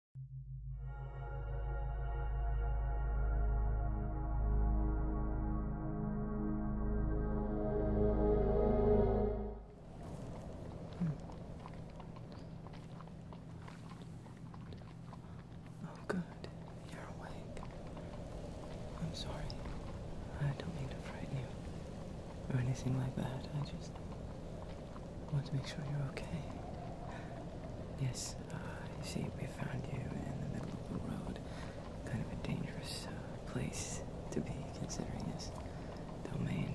Hmm. Oh, you're I'm I sorry. don't mean to frighten or anything like that. I just I want to make sure you're okay. Yes, you see, we found you in the middle of the road. Kind of a dangerous uh, place to be, considering this domain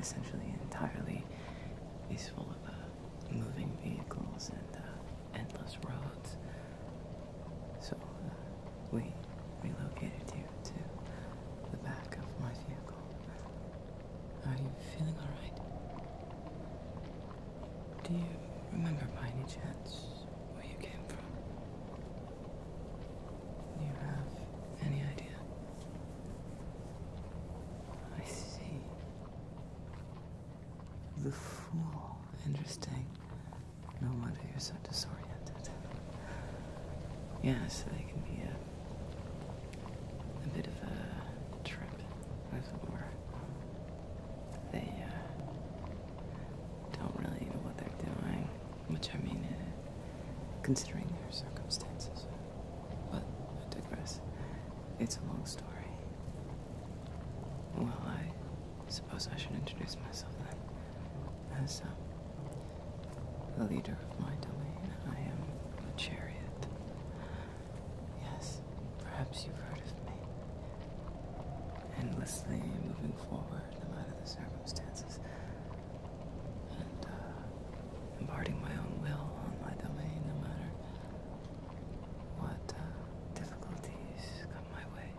essentially entirely is full of uh, moving vehicles and uh, endless roads. So we relocated you to the back of my vehicle. Are you feeling all right? Do you remember by any chance where you came from? Do you have any idea? I see. The fool. Interesting. No wonder you're so disoriented. Yes, they can be a a bit of a trip, as it were. They uh, don't really know what they're doing, which I mean, uh, considering their circumstances. But digress. It's a long story. Well, I suppose I should introduce myself then. As, um, the leader of my domain. I am the chariot. Yes, perhaps you've heard of me. Endlessly moving forward, no matter the circumstances, and uh, imparting my own will on my domain, no matter what uh, difficulties come my way.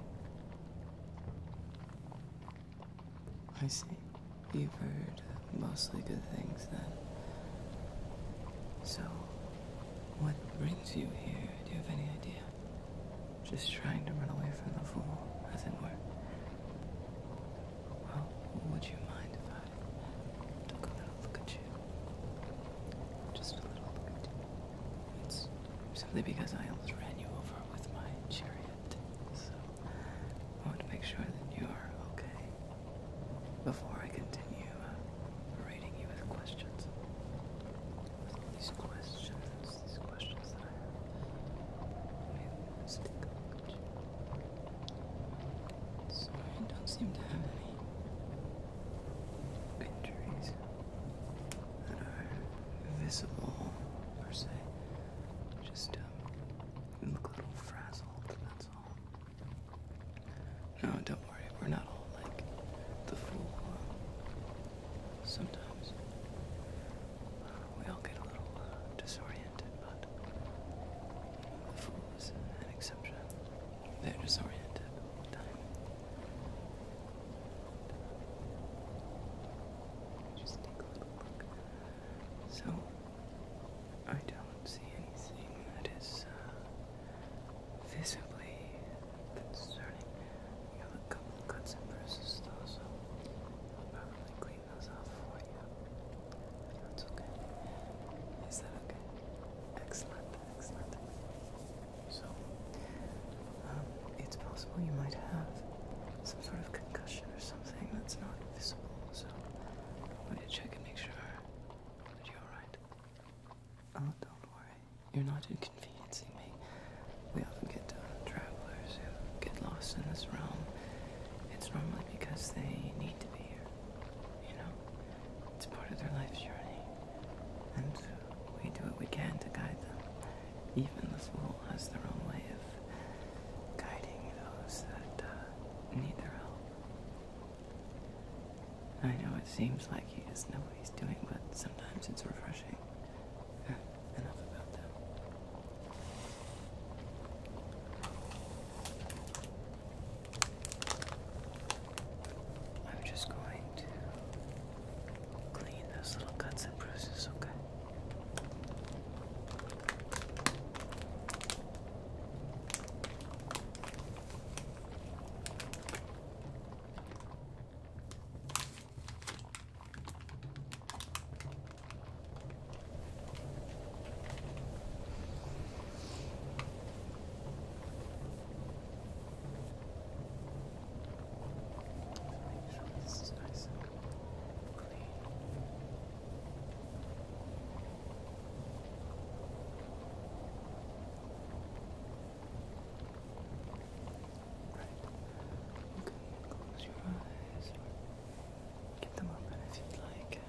I see. You've heard mostly good things then. So, what brings you here? Do you have any idea? Just trying to run away from the fool, as it were. Well, would you mind if I took a little look at you? Just a little look It's simply because I almost ran you over with my chariot, so I want to make sure that you are okay before I continue uh, you with questions. these questions, these questions that I have. Stick so I don't seem to have any injuries that are visible per se. Just um, look a little frazzled, that's all. No, don't worry, we're not all like the fool. Uh, sometimes uh, we all get a little uh, disoriented, but the fool is an exception. They're disoriented Just take a look so I don't see anything that is uh, visibly concerning. We have a couple cuts and bruises though, so I'll probably clean those off for you. that's okay. Is that okay? Excellent, excellent. So, um, it's possible you might have some sort of concussion or something something that's not visible, so I let to check and make sure that you're alright. Oh, don't worry. You're not inconveniencing me. We often get uh, travelers who get lost in this realm. It's normally because they need to be here. You know? It's part of their life's journey. And we do what we can to guide them even the soul has their own way of guiding those that uh, need their help. I know it seems like he just knows what he's doing, but sometimes it's refreshing. Enough about that. I'm just going to clean those little cuts and bruises, okay? Make sure this is nice and Okay, close your eyes or get them open if you'd like.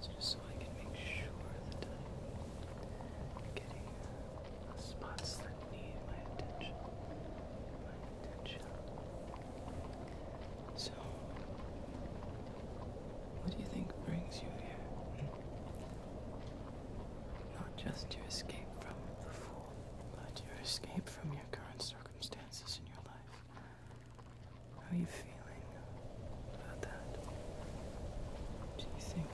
So just so I can make sure that I'm getting uh, spots that need my attention. So, what do you think brings you here? Hmm? Not just your escape from the fool, but your escape from your current circumstances in your life. How are you feeling about that? Do you think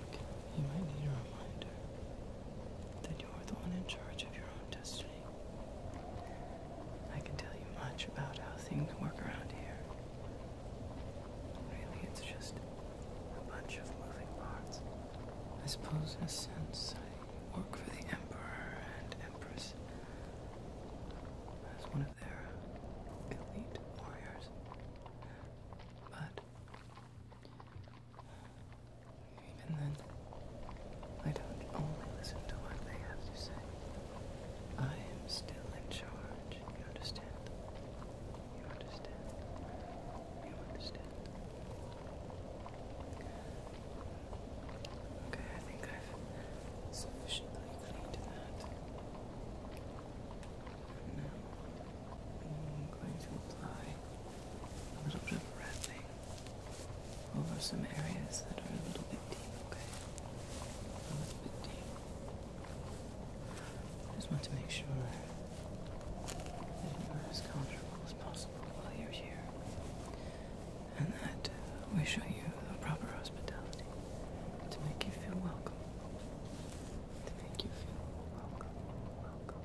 you might need a reminder that you're the one in charge of your own destiny. I can tell you much about how things work around here. Really, it's just a bunch of moving parts. I suppose, in a sense, I work for the Emperor and Empress as one of their elite warriors. But even then, I don't only listen to what they have to say. I am still in charge. You understand? You understand? You understand? Okay, I think I've sufficiently cleaned that. Now, I'm going to apply a little bit of wrapping over some areas that are a little bit deep, okay? A little bit deep. I just want to make sure that you're as comfortable as possible while you're here. And that uh, we show you the proper hospitality to make you feel welcome. To make you feel welcome, welcome,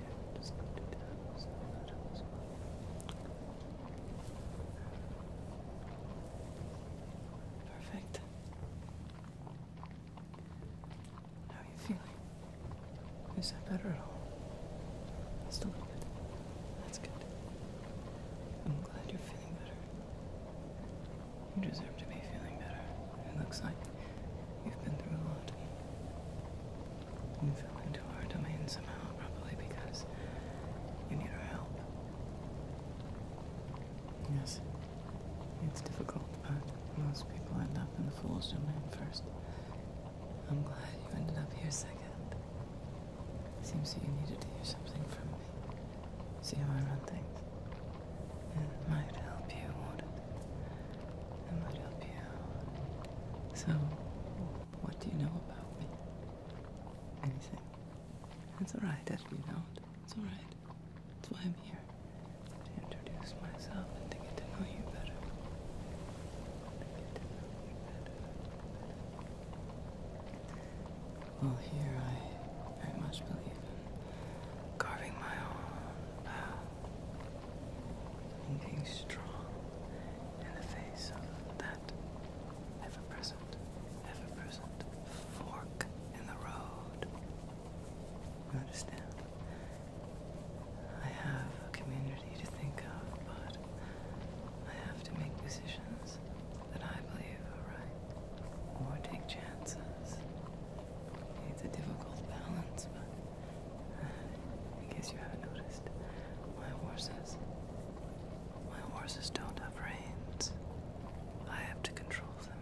Perfect. How are you feeling? Is that better at all? Just a bit. That's good. I'm glad you're feeling better. You deserve to be feeling better. It looks like You've been through a lot. You fell into our domain somehow, probably because you need our help. Yes, it's difficult, but most people end up in the fool's domain first. I'm glad you ended up here second. Seems that you needed to hear something from me. See how I run things. It might help you, that might help you. So, what do you know about me? Anything? That's alright That's alright. That's why I'm here. To introduce myself and To get to know you better. Well, here I very much believe in carving my own path being strong in the face of that ever present, ever present fork in the road. understand? I have a community to think of, but I have to make decisions that I believe are right or take chances. It's a difficult balance, but in case you haven't noticed, my horses. My horses don't have reins. I have to control them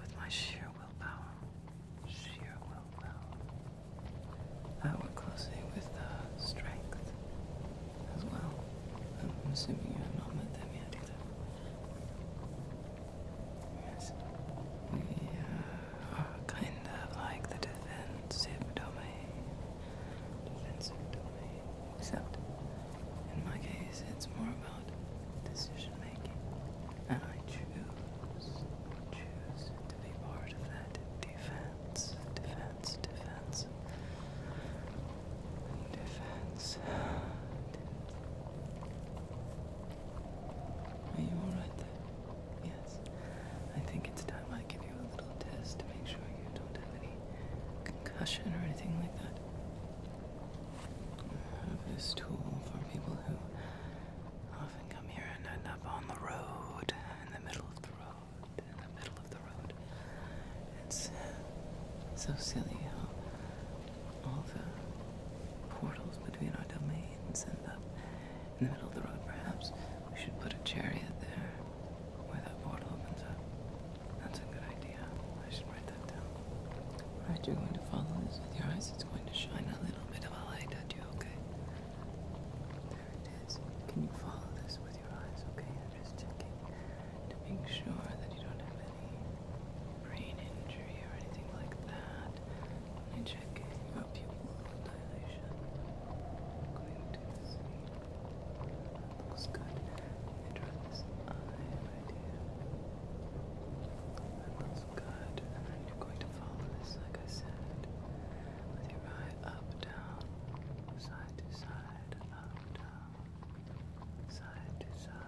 with my sheer willpower. Sheer willpower. I work closely with strength as well. I'm assuming you have not met them yet either. Yes. We kind of like the defensive domain. Defensive domain. Except, in my case, it's more about decision making. And I choose, choose to be part of that defense, defense, defense, defense. Are you alright there? Yes. I think it's time I give you a little test to make sure you don't have any concussion or anything like that. I have this tool for people who often come here and end up on the road, in the middle of the road, in the middle of the road. It's so silly all the portals between our domains and in the middle of the road, perhaps we should put a chariot there where that portal opens up. That's a good idea. I should write that down. Right, you're going to follow this with your eyes. It's going to shine a little bit of a light at you, okay? There it is. Can you follow this with your eyes, okay? I'm just checking to make sure that you don't have any brain injury or anything like that. Let check pupil dilation. I'm going to looks good. Let try this eye idea. That looks good. And then you're going to follow this, like I said, with your eye up, down, side to side, up, down, side to side.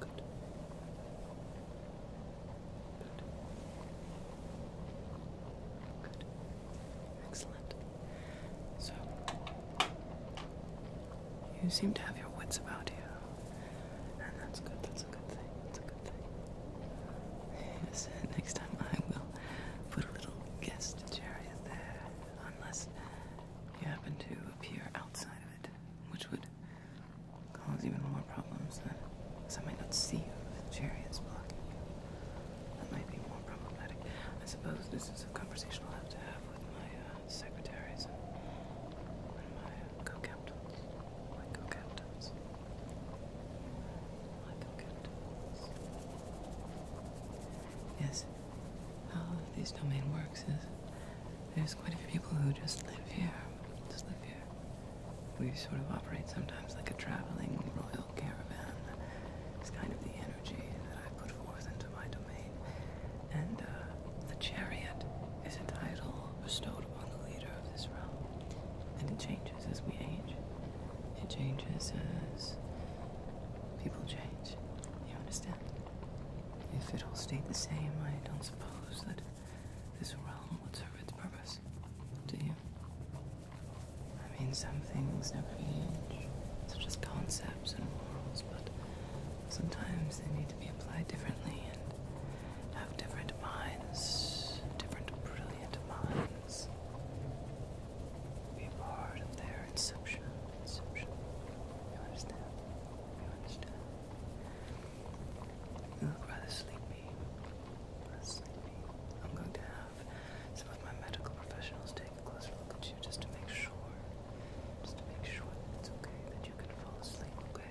Good. Good. Excellent. So, you seem to have your wits about you, and that's good. That's a good thing. That's a good thing. Yes. Next time I will put a little guest chariot there, unless you happen to appear outside of it which would cause even more problems than I might not see you if the is blocking That might be more problematic. I suppose this is a conversation I'll have to have with my uh, secretaries and, and my uh, co-captains. co-captains. co-captains. Yes. How this domain works is there's quite a few people who just live here. Just live here. We sort of operate sometimes like a traveling royal caravan. It's kind of the energy that I put forth into my domain. And uh, the chariot is a title bestowed upon the leader of this realm. And it changes as we age. It changes as people change. You understand? If it all stayed the same, I don't suppose that this realm would serve its purpose. Do you? I mean, some things never change, such as concepts and morals, but sometimes they need to be applied differently and have different minds, different brilliant minds. Be part of their inception. It's social. You understand? You understand? You look rather sleepy. I'm going to have some of my medical professionals take a closer look at you just to make sure. Just to make sure it's okay, that you can fall asleep, okay?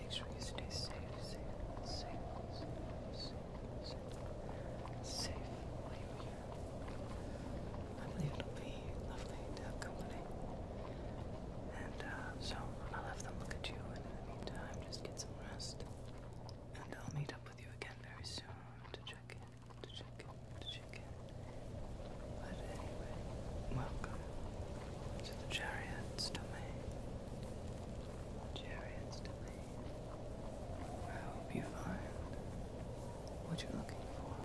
Make sure you stay safe, safe, safe, safe, safe, I believe it'll be lovely to have company. And uh, so I'll have them look at you, in the meantime, just get some rest. And I'll meet up with you again very soon to check in, to check in, to check in. But anyway, welcome to the Chariot's Domain. Chariot's Domain. I hope you find what you're looking for.